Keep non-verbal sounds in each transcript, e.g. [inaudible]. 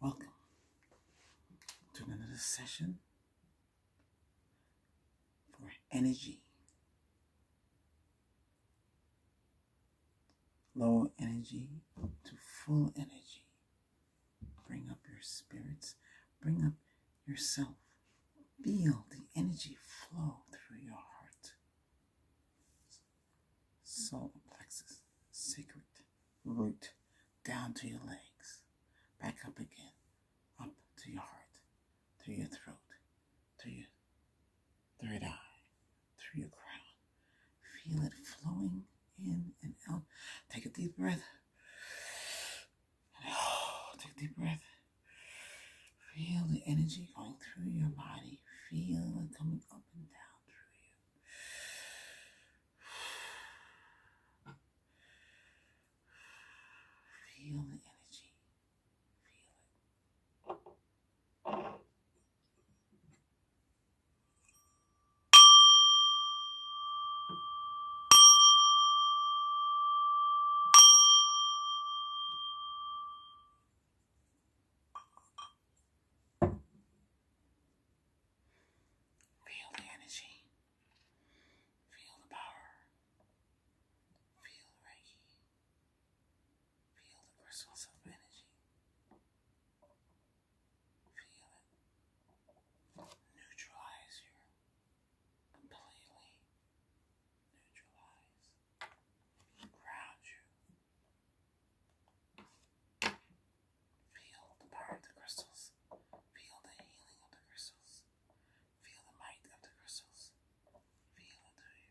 Welcome to another session for energy. Low energy to full energy. Bring up your spirits, bring up yourself. Feel the energy flow through your heart solar plexus, secret root, down to your legs, back up again, up to your heart, through your throat, through your third eye, through your crown. Feel it flowing in and out. Take a deep breath. [sighs] Take a deep breath. Feel the energy going through your body. Feel it coming up and down through you. Feel the energy. Feel it. Feel the energy. Feel the power. Feel the Reiki. Feel the crystals of energy. Feel it. Neutralize you. Completely neutralize ground you. Feel the power of the crystals. Feel the healing of the crystals. Feel the might of the crystals. Feel it to you.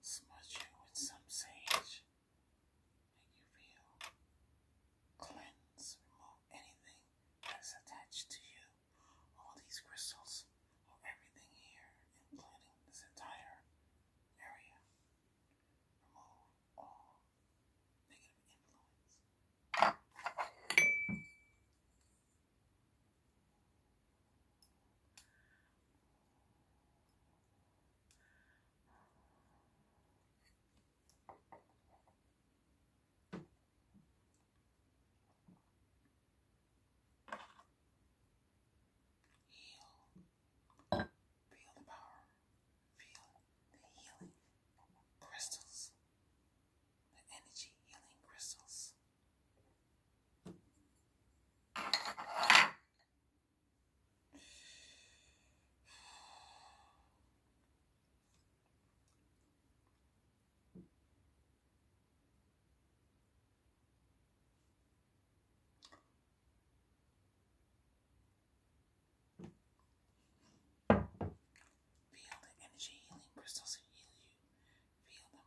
Smudge you with some sage. Make you feel cleanse, remove anything that is attached to you all these crystals or everything here, including this entire area. Remove all negative influence. Feel the power. [sighs] Feel the healing crystals. The energy healing crystals. Feel the energy healing crystals that heal you. Feel them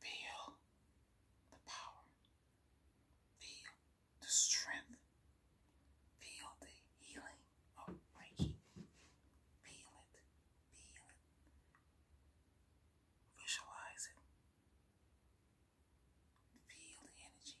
Feel the power. Feel the strength. Feel the healing of Reiki. Feel it. Feel it. Visualize it. Feel the energy.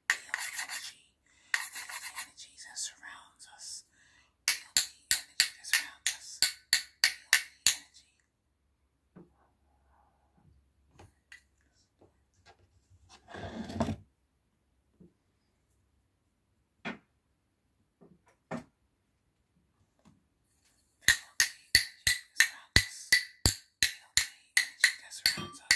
Feel the energy. the energy that surrounds us. Feel the energy that surrounds us. Feel the energy. the energy that surrounds us. Feel the energy that surrounds us.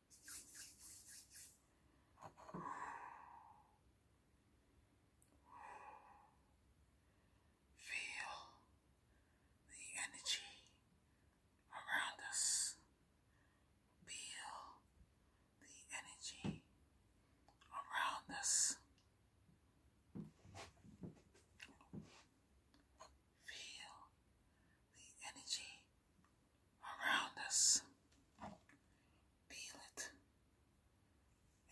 Feel the energy around us. Feel the energy around us. Feel the energy around us. Feel it.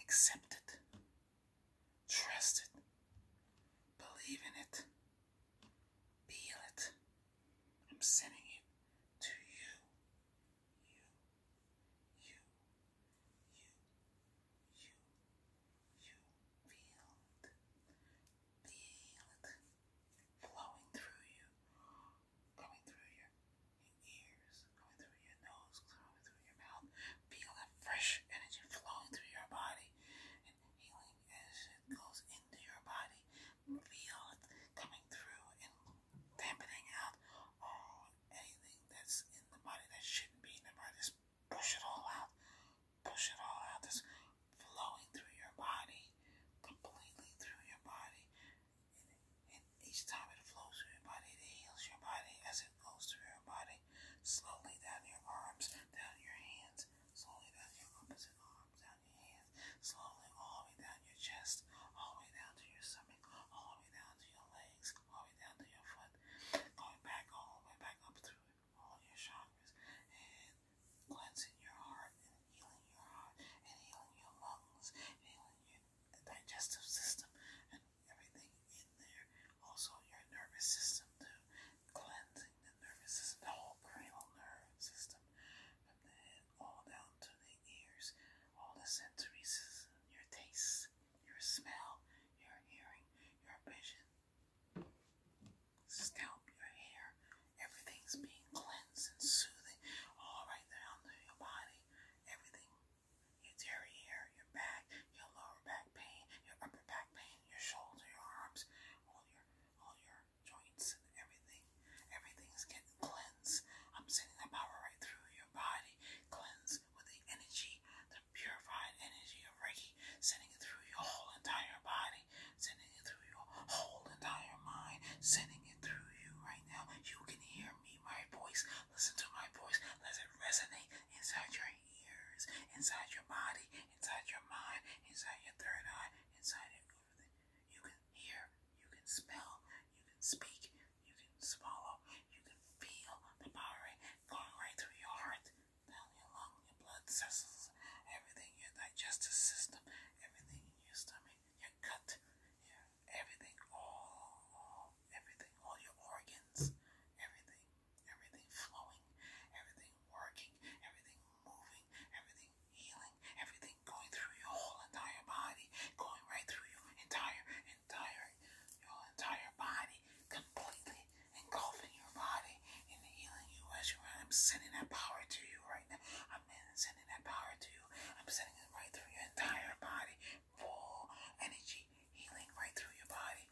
Accept it. Trust it. Believe in it. Feel it. I'm sending it to you. You, you, you, you, you. Feel it. Feel it flowing through you coming through your, ears, coming through your nose, coming through your mouth. Feel that fresh energy flowing through your body and healing as it goes into your body. Feel it coming through and dampening out all anything that's in the body that shouldn't be in the body. Just push it all out. Push it all out. Just flowing through your body, completely through your body, and, each time it flows through your body, it heals your body as it flows through your body, slowly down your arms, down your hands, slowly down your opposite arms, down your hands, slowly all the way down your chest, all the way down to your stomach, all the way down to your legs, all the way down to your foot, going back all the way back up through all your chakras, and cleansing your heart healing your heart and healing your lungs, healing your digestive system and everything in there. Also your nervous system too, cleansing the nervous system, the whole cranial nerve system from the head all down to the ears, all the sensory system, your taste, your smell, your hearing, your vision, scalp, your hair, Everything's being cleansed and soothing all right there to your body. Everything. Your derriere, your back, your lower back pain, your upper back pain, your shoulders, your arms, all your all your joints and everything. Everything's getting cleansed. I'm sending that power right through your body. Cleanse with the energy, the purified energy of Reiki, sending it through your whole entire body, sending it through your whole entire mind, sending it through you right now. You can hear me, my voice. Listen to my voice. Let it resonate inside your ears, inside your body, inside your mind, inside your third eye, inside everything. You can hear, you can smell, you can speak, you can swallow, you can feel the power going right through your heart, down your your blood vessels, everything, your digestive system, everything in your stomach, cut your, everything, all, everything, all your organs, everything, everything flowing, everything working, everything moving, everything healing, everything going through your whole entire body, going right through your entire, entire, your entire body, completely engulfing your body and healing you as you are. I'm sending that power to you right now. I'm sending that power to you. I'm sending it right through your entire body. Full energy healing right through your body.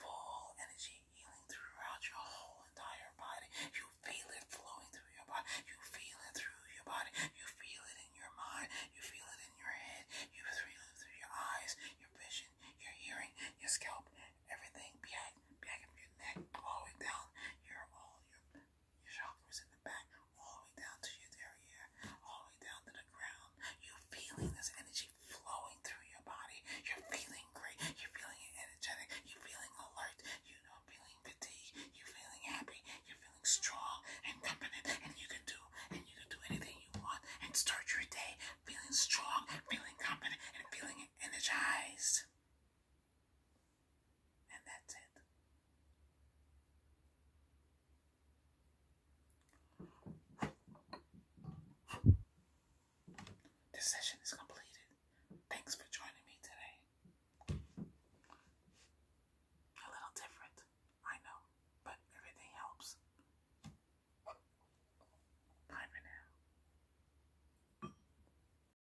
Full energy healing throughout your whole entire body. You feel it flowing through your body. You feel it through your body. You feel it in your mind. You feel it in your head. You feel it through your eyes, your vision, your hearing, your scalp, everything. Back, back your neck, all the way down your all your your chakra is in the back, all the way down to your derriere, all the way down to the ground. You're feeling this energy flowing through your body. You're feeling great. You're feeling energetic. You're feeling alert. You're not feeling fatigue. You're feeling happy. You're feeling strong and confident, and you can do and you can do anything you want and start your day feeling strong, feeling confident, and feeling energized. And that's it. This session is completed. Thanks for joining me today. A little different, I know, but everything helps. Bye for now.